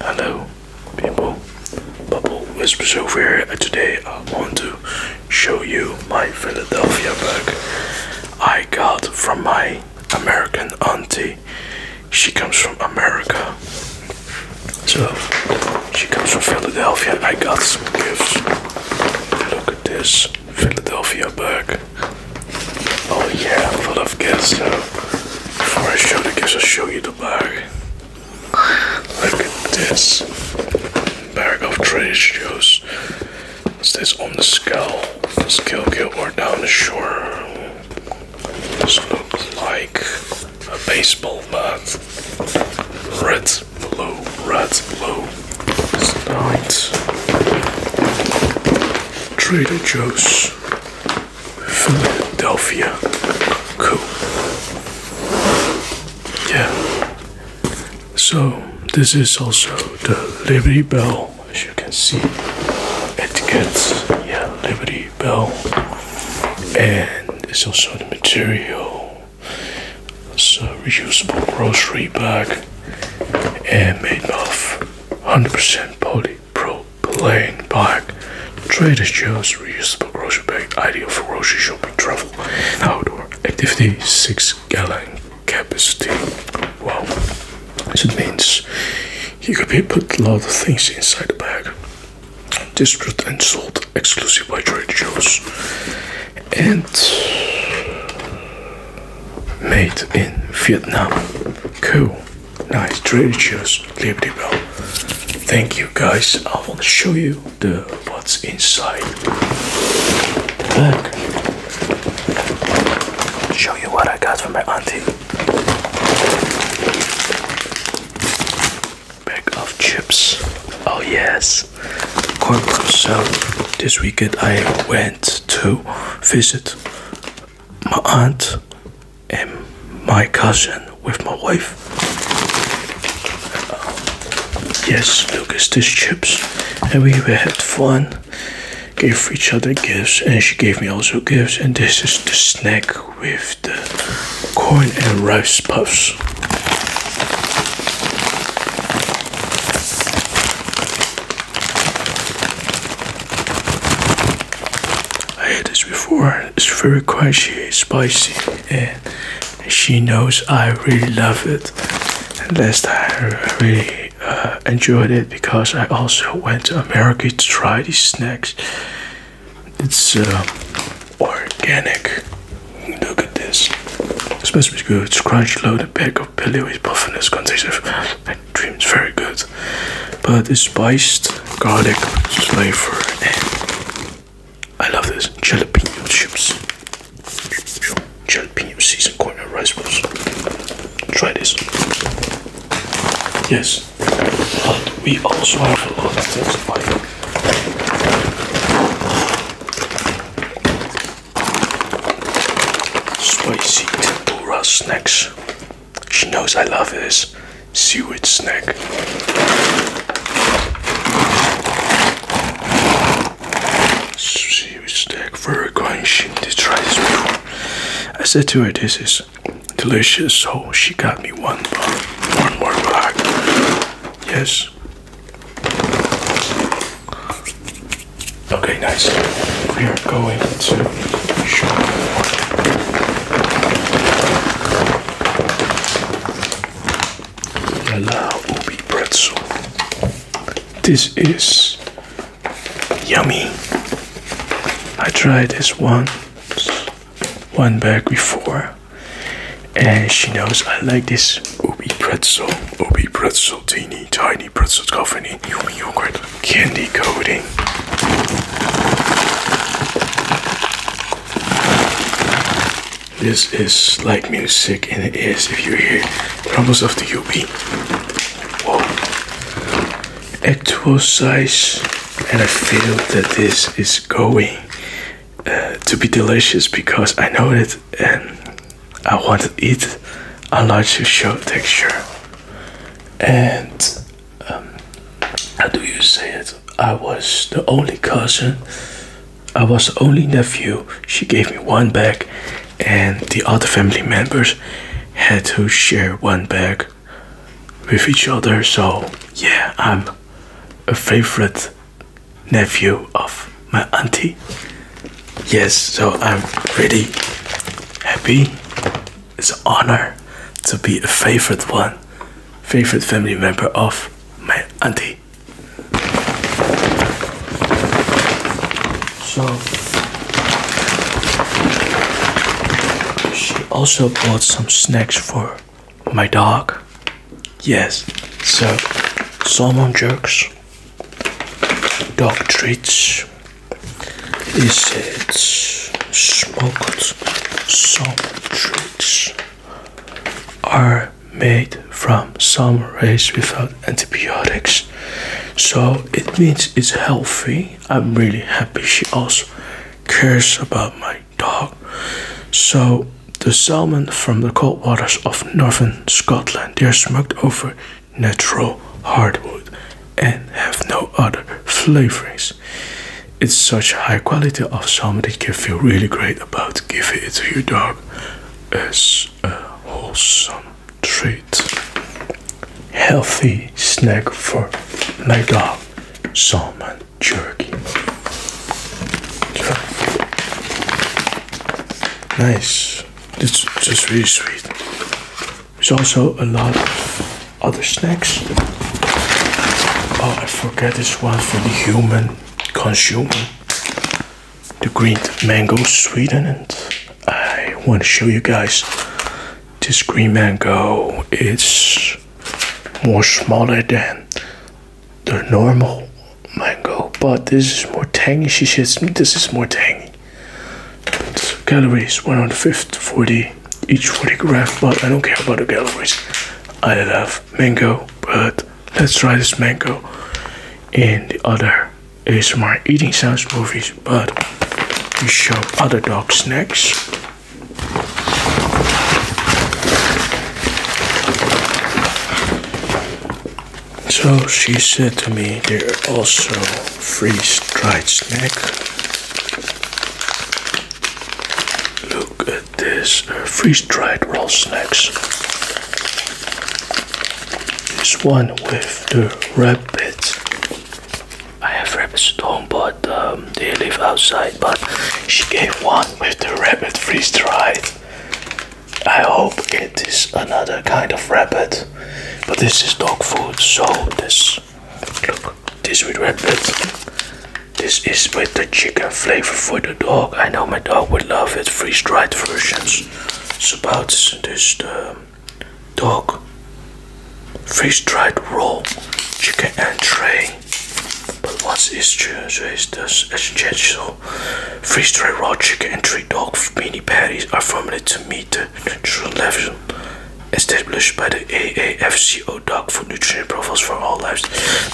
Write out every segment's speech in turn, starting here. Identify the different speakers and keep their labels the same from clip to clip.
Speaker 1: Hello people, Bubble Whispers over here and today I want to show you my Philadelphia bag I got from my American auntie. She comes from America. So she comes from Philadelphia I got some gifts. Look at this Philadelphia bag. Oh yeah, full of gifts before I show it, I I'll show you the bag. Look at this bag of trash Joe's. It says on the skull, the skull or down the shore. This looks like a baseball bat. Red, blue, red, blue. It's night. Trader Joe's. Philadelphia. Cool. Yeah. So this is also the Liberty Bell, as you can see. It gets yeah, Liberty Bell. And it's also the material. So reusable grocery bag and made of 100% poly propylene bag. Trader Joe's reusable grocery bag, ideal for grocery shopping, travel, outdoor activity, 6 gallon capacity. Wow, so it means you could be put a lot of things inside the bag. District and sold exclusive by Trader Joe's. And Made in Vietnam. Cool. Nice. Delicious. Liberty Bell. Thank you guys. I want to show you the what's inside bag. Show you what I got from my auntie. Bag of chips. Oh yes. Corn So this weekend I went to visit my aunt and my cousin with my wife. yes, look at these chips, and we had fun. Gave each other gifts, and she gave me also gifts. And this is the snack with the corn and rice puffs. I had this before. It's very crunchy, spicy, and she knows I really love it. And last time I really uh, enjoyed it because I also went to America to try these snacks. It's uh, organic. Look at this. This must be good. It's crunch loaded bag of Billy is buff in this condition and dreams very good. But it's spiced garlic flavor I love this jalapeno chips. Jalapeno seasoned corn and rice balls. Try this. Yes. But we also have a lot of things like Spicy tempura snacks. She knows I love this seaweed snack. Seaweed snack, very crunchy. to try this before. I said to her, "This is delicious." So she got me one, one more bag. Yes, Okay, nice. We are going to show you La Ubi Pretzel. This is yummy. I tried this one one bag before and she knows I like this Obi pretzel, Obi pretzel, teeny tiny pretzel coffee, yummy yogurt, candy coating. This is like music and it is if you hear rumbles of the UB. Whoa. Actual size and I feel that this is going to be delicious because I know it and I want it, eat a large show texture. And um, how do you say it? I was the only cousin, I was the only nephew. She gave me one bag, and the other family members had to share one bag with each other. So, yeah, I'm a favorite nephew of my auntie. Yes, so I'm really happy. It's an honor to be a favorite one, favorite family member of my auntie. So she also bought some snacks for my dog yes so salmon jerks dog treats is it smoked Some treats are made from some raised without antibiotics so it means it's healthy i'm really happy she also cares about my dog. So the salmon from the cold waters of northern Scotland, they are smoked over natural hardwood and have no other flavorings. It's such high quality of salmon that you feel really great about giving it to your dog as a wholesome treat. Healthy snack for my dog salmon jerky. Nice. It's just really sweet. There's also a lot of other snacks. Oh, I forget this one for the human consumer. The green mango sweetened. I want to show you guys this green mango is more smaller than the normal mango, but this is more tangy. She says mm, this is more tangy. So calories 150 40 each 40 gram, but I don't care about the calories. I love mango, but let's try this mango And the other is my eating sounds movie but you show other dogs snacks. So she said to me, "There are also freeze-dried snack. Look at this, uh, freeze-dried raw snacks. This one with the rabbit I have rabbit at home, but um, they live outside. But she gave one with the rabbit freeze dried. I hope it is another kind of rabbit, but this is dog food. So this, look, this with rabbit. This is with the chicken flavor for the dog. I know my dog would love it. Freeze dried versions. It's about this um, dog, fish dried raw, chicken entree. But what's issue? So is the exchange. So freeze dried raw chicken and three dog mini patties are formulated to meet the nutritional level established by the AAFCO dog food nutrient profiles for all lives.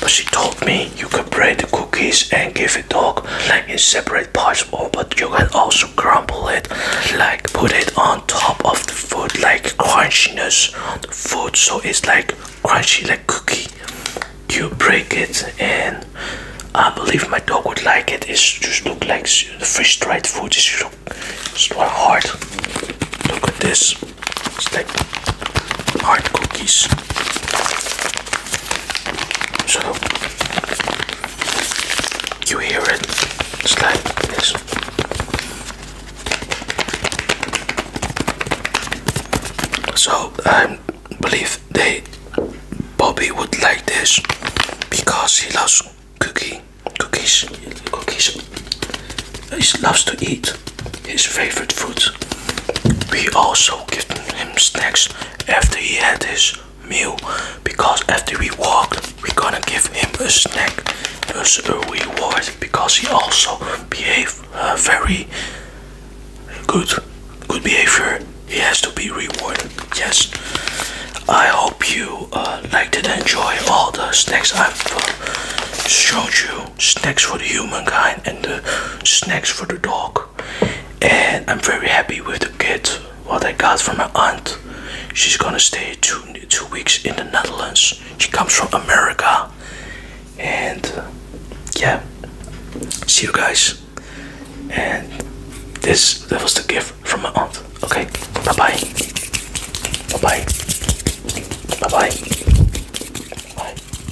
Speaker 1: But she told me you can break the cookies and give it dog like in separate parts, or but you can also also crumble it like put it on top of the food like crunchiness on the food so it's like crunchy like cookie you break it and I believe my dog would like it it just look like the fresh dried food is so hard look at this it's like hard cookies so you hear it slide like this. So I believe they Bobby would like this because he loves cookie cookies cookies. He loves to eat his favorite food. We also give him snacks after he had his meal because after we walked we're gonna give him a snack as a reward because he also behaved uh, very good good behavior he has to be rewarded yes i hope you uh, liked it enjoy all the snacks i've uh, showed you snacks for the humankind and the snacks for the dog book and i'm very happy with the gift what i got from my aunt she's gonna stay two two weeks in the netherlands she comes from america and uh, yeah see you guys and this that was the gift from my aunt okay bye bye bye bye bye bye, bye.